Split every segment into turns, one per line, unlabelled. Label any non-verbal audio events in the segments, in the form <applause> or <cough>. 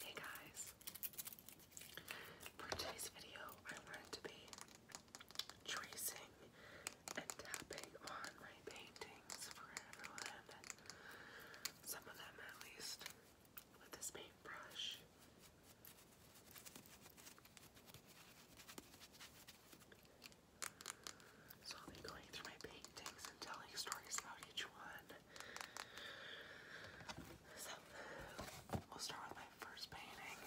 Hey guys, for today's video, I wanted to be tracing and tapping on my paintings for everyone. Some of them, at least, with this paintbrush. So I'll be going through my paintings and telling stories about each one. So, we'll start with my first painting.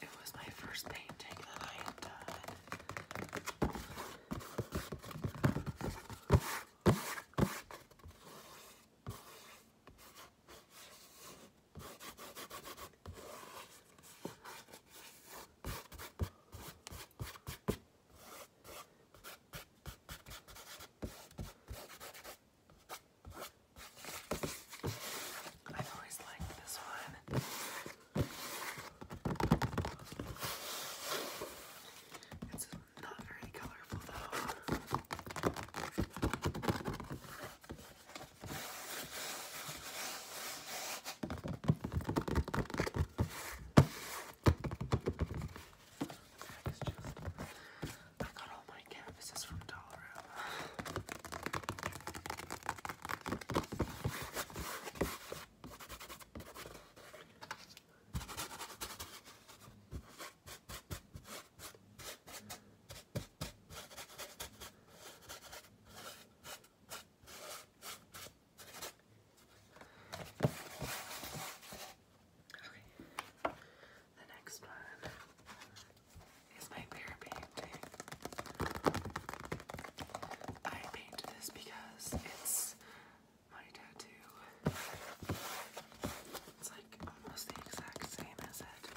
It was my first painting that I had done. I've always liked this one. It's not very colorful though. That is just. I got all my canvases from Dollarama. Okay. The next one is my bear painting. I painted this because it's my tattoo. It's like almost the exact same as it.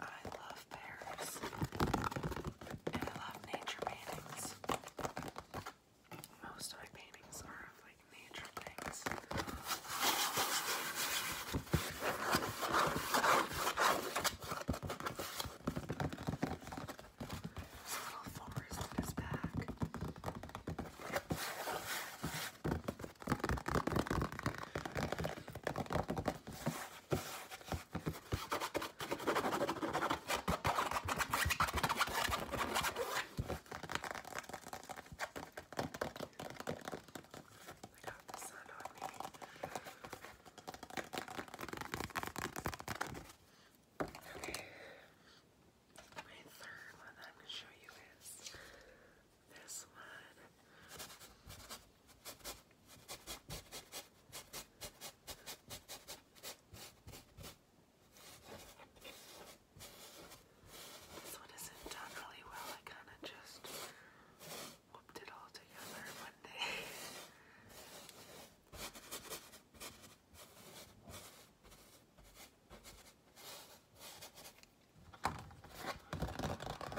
I love pears. And I love nature paintings. Most of my paintings are like nature things. There's little forest in his back. I got the sun on me. Okay. My third one that I'm going to show you is this one. This one isn't done really well. I kind of just whooped it all together one day.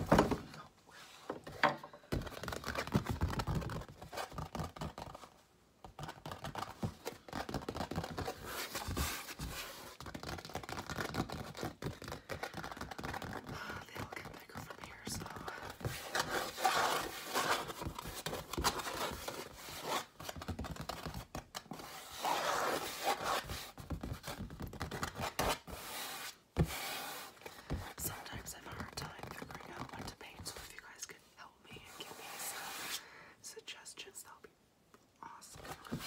Oh, <laughs> They all get bigger from here, so. Sometimes I have a hard time figuring out what to paint, so if you guys could help me and give me some suggestions, that would be awesome.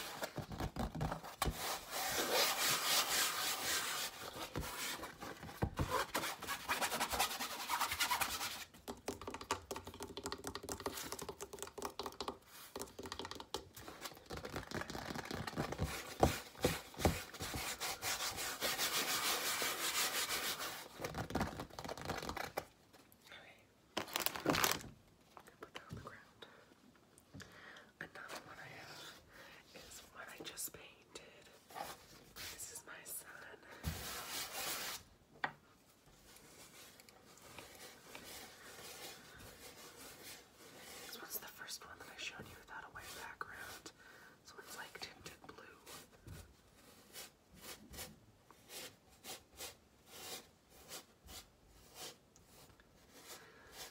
Okay. Put that on the ground. Another one I have is one I just painted. This is my son. This was the first one that I showed you without a white background. This one's like tinted blue.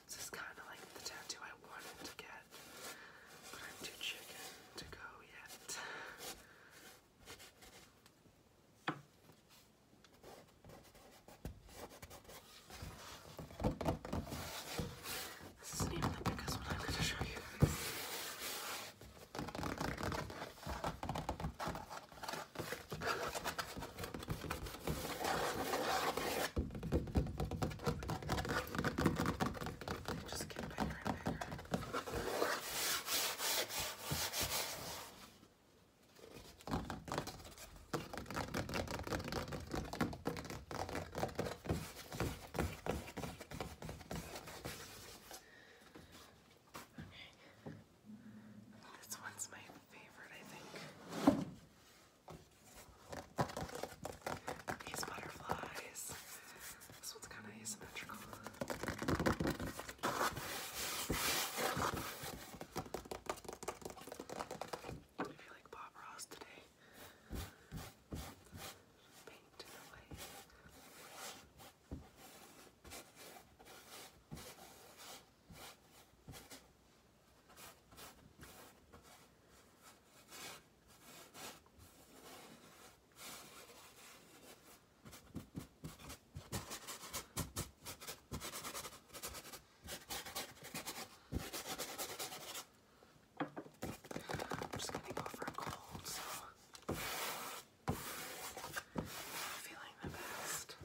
This is kind of like the tattoo I wanted to get, but I'm too chicken to go yet. This is even the biggest one I'm going to show you. just get bigger and bigger. This one's my favorite, I think. These butterflies. This one's kind of asymmetrical. I feel like Bob Ross today paint in I'm just gonna go for a cold, so feeling the best.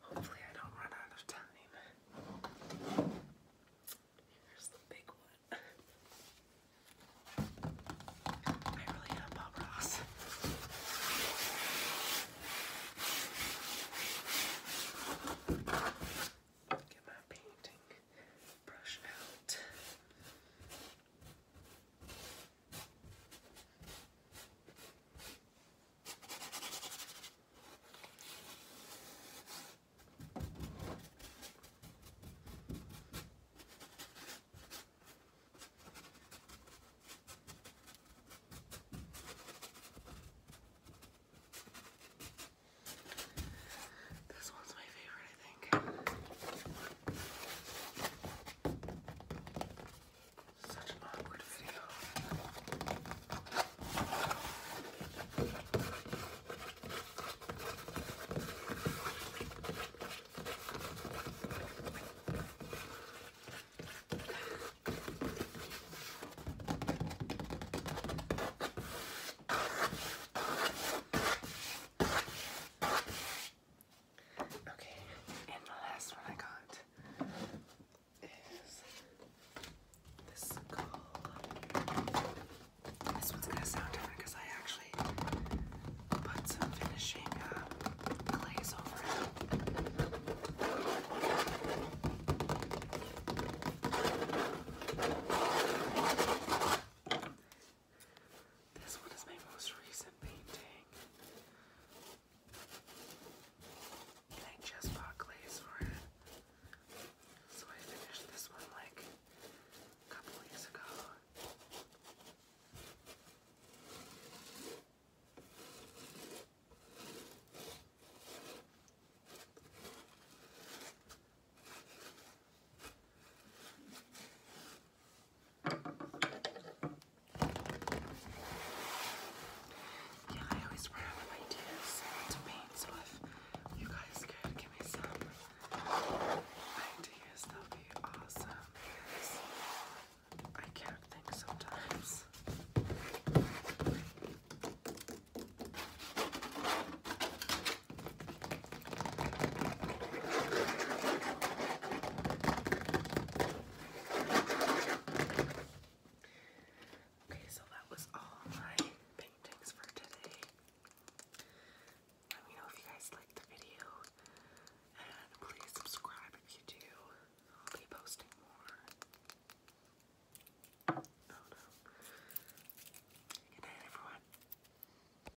Hopefully, I don't run out of time. Here's the big one. I really am Bob Ross. Get my painting brush out. This one's my favorite, I think. Such an awkward video. Okay, and the last one I got is this called. This one's gonna sound different because I actually put some finishing uh, glaze over it. This one is my most recent painting. I just bought glaze for it. So I finished this one like a couple weeks ago. Yeah, I always run out of ideas to paint, so if you guys could give me some ideas, that would be awesome I can't think sometimes. Okay, so that was all my paintings for today. Let me know if you guys liked the video, and please subscribe if you do. I'll be posting more. Oh, Good night, everyone.